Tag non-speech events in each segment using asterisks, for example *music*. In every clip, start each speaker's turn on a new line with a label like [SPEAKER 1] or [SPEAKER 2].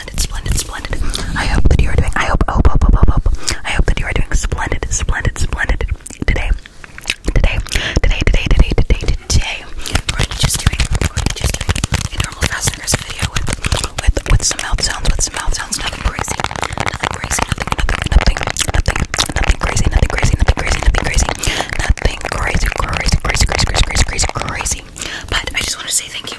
[SPEAKER 1] splendid, splendid, splendid. I hope that you are doing. I hope, hope, hope, hope, hope, hope. I hope that you are doing splendid, splendid, splendid today, today, today, today, today, today, today. We're just doing, we're just doing a normal Fastners video with, with, with some mouth sounds, with some mouth sounds. Nothing crazy, nothing crazy, nothing, nothing, nothing, nothing, nothing crazy, nothing crazy, nothing crazy, nothing crazy, nothing crazy, crazy, crazy, crazy, crazy, crazy, crazy, crazy. But I just want to say thank you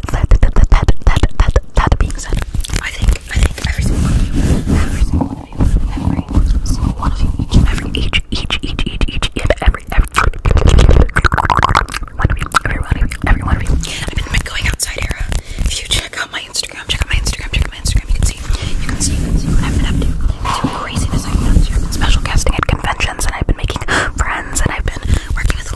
[SPEAKER 1] that, that, that, that, that, that being said, I think, I think every single one of you, every single one of you, every single one of you, each and every, each, each, each, each, each, and every, every one of you, every one of you, every one of you. I've been in my going outside era. If you check out my Instagram, check out my Instagram, check out my Instagram, you can see, you can see, you can see what I've been up to. Some craziness I've been up to. I've been special casting at conventions, and I've been making friends, and I've been working with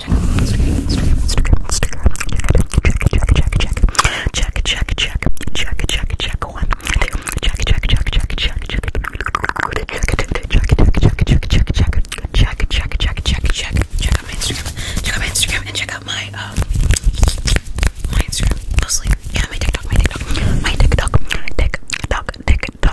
[SPEAKER 1] check out Instagram, Instagram, Instagram, Instagram, check, check, check, check, check, check, check, check, check, check, check, one, two, check, check, check, check, check, check, check, check, check, check, check, check, check out my Instagram, check out my Instagram, and check out my um my Instagram mostly, yeah, my TikTok, my TikTok, my TikTok, TikTok, TikTok,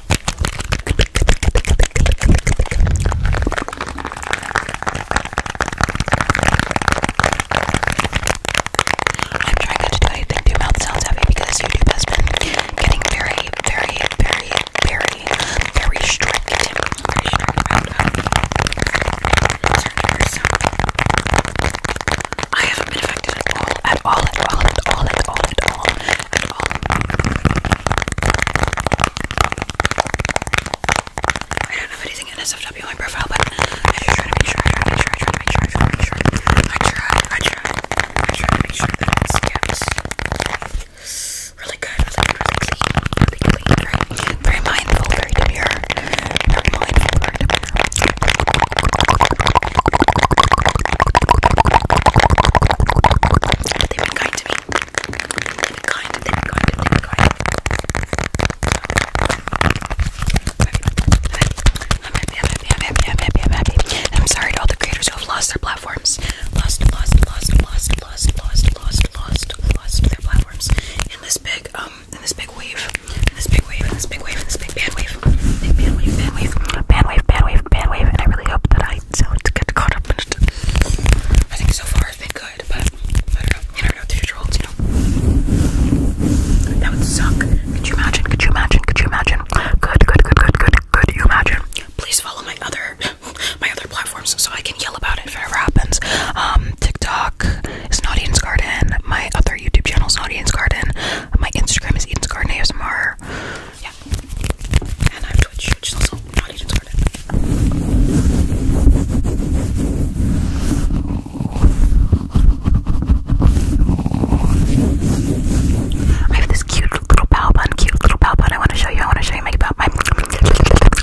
[SPEAKER 1] I'm trying not to do anything too mouth sounds heavy because YouTube has been getting very, very, very, very, very strict. Very strict about I haven't been affected at all, at all, at all, at all, at all, at all. I don't have anything NSFW on my profile, but I just try to make sure, I try, I try, I try, I try, I try to make sure, I try, I try, I try to make sure that it skips. Really good, really good, really clean, really clean, very, very mindful, very demure, very mindful, very demure. But they've been kind to me. They've been kind, they've been kind, they've been kind. I'm happy, I'm happy, I'm happy, I'm happy, I'm happy. And I'm sorry to all the creators who have lost their platforms. Lost, lost, lost, lost, lost, lost, lost, lost, lost their platforms. In this big, um, in this big wave. In this big wave, in this big wave, in this big band wave. Big band wave, band wave, band wave, band wave, band wave. And I really hope that I night, so it's good to caught up in it. I think so far it's been good, but I don't know. You never know with future holds, you know. That would suck. Could you imagine? Could you imagine? Could you imagine? Good, good, good, good, good. Could you imagine? Please follow my other *laughs* my other platforms so I can yell about it if it ever happens. Um, TikTok is not Eden's Garden. My other YouTube channel is not Eden's Garden. My Instagram is Eden's Garden ASMR. Yeah. And I have Twitch, which is also not even started. I have this cute little bow bun, cute little bow bun. I want to show you. I want to show you my bow, my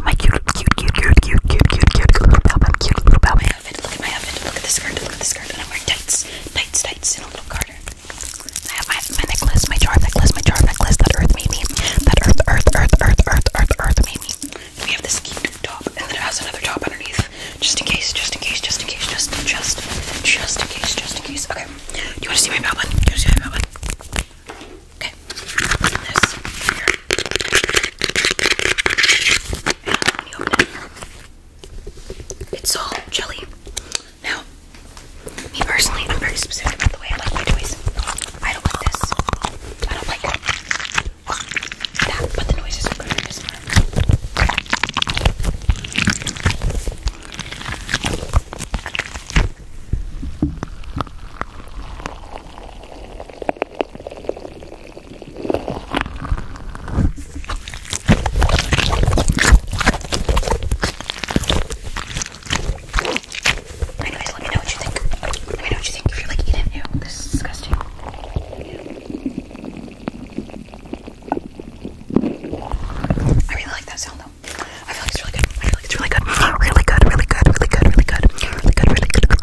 [SPEAKER 1] my cute, cute, cute, cute, cute, cute, cute, cute little bow bun, cute little bow bun. Look at my outfit. Look at the skirt. Look at the skirt. And I'm wearing tights, tights, tights, and a little garter. I have my, my necklace, my charm necklace, my charm necklace that Earth made me. That Earth, Earth, Earth, Earth, Earth, Earth, Earth made me. we have this cute top, and then it has another top underneath, just in case, just in case, just in case, just, just, just in case, just in case. Okay. Do you want to see my Batman? Do you want to see my Batman? Okay. It's all jelly. Now, me personally, I'm very specific about the way I like my toys. I don't like this. I don't like that, but the noises are good Anyways, let me know what you think. Let me know what you think if you're like eating it. Ew, this is disgusting. I really like that sound though. I feel like it's really good. I feel like it's really good. Really good, really good, really good, really good. Really good, really good.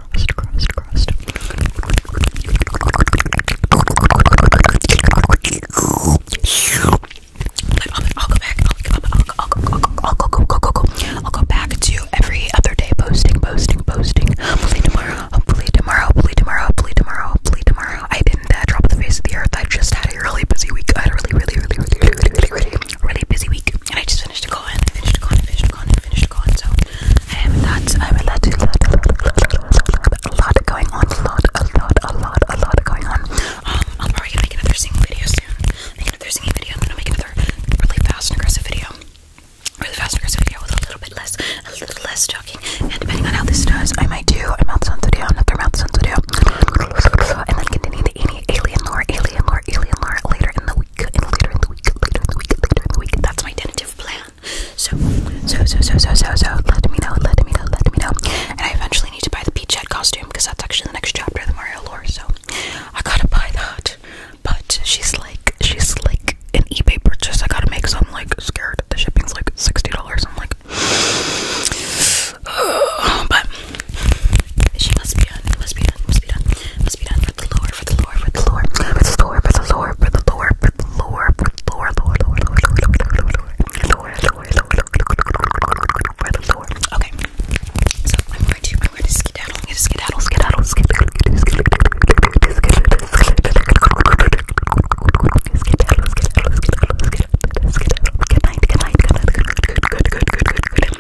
[SPEAKER 1] crust, crust, crust. But um, I'll go back. I'll, I'll, I'll, I'll, I'll, I'll, I'll go, go, go, go, go. I'll go back to every other day posting, posting, posting. Hopefully tomorrow. Hopefully tomorrow. Hopefully tomorrow. Hopefully tomorrow. Hopefully tomorrow. I didn't uh, drop the face of the earth. I just had a really busy week. I had a really, really, really, really, really, really, really, really, really busy week. And I just finished a con, I finished a con, I finished a con, I finished a con. So I have a lot, I have a lot, a lot going on, a lot, a lot, a lot, a lot going on. Um, I'm probably gonna make another singing video soon. Make another singing video, and then I'll make another really fast and aggressive video. Really fast and aggressive video with a little bit less, a little less talking. And depending on how this does, I might do a mouth sounds video, another mouth sounds video, and then continue the alien lore, alien lore, alien lore later in the and later in the week, later in the week, later in the week. That's my tentative plan. So, so, so, so, so, so, so, let me know, let me know, let me know. And I eventually need to buy the Peach Head costume because that's actually the next chapter of the Mario lore. So, I gotta buy that. But she's like, she's like an eBay purchase. I gotta make some like scared. The shipping's like $60. I'm like, *sighs* but she must be done. Must be done. Must be done. Must be done for the Lord. For the Lord. For the Lord. For the Lord. For the Lord. For the Lord. For the Lord. For the Lord. Lord. Lord. Lord. Lord. Lord. Lord. Lord. Okay. So I'm going to. I'm going to skedaddle. I'm going to skedaddle. Skedaddle. Skedaddle. Skedaddle. Skedaddle. Skedaddle. Good night. Good night. Good night. Good. Good. Good. Good. Good. Good.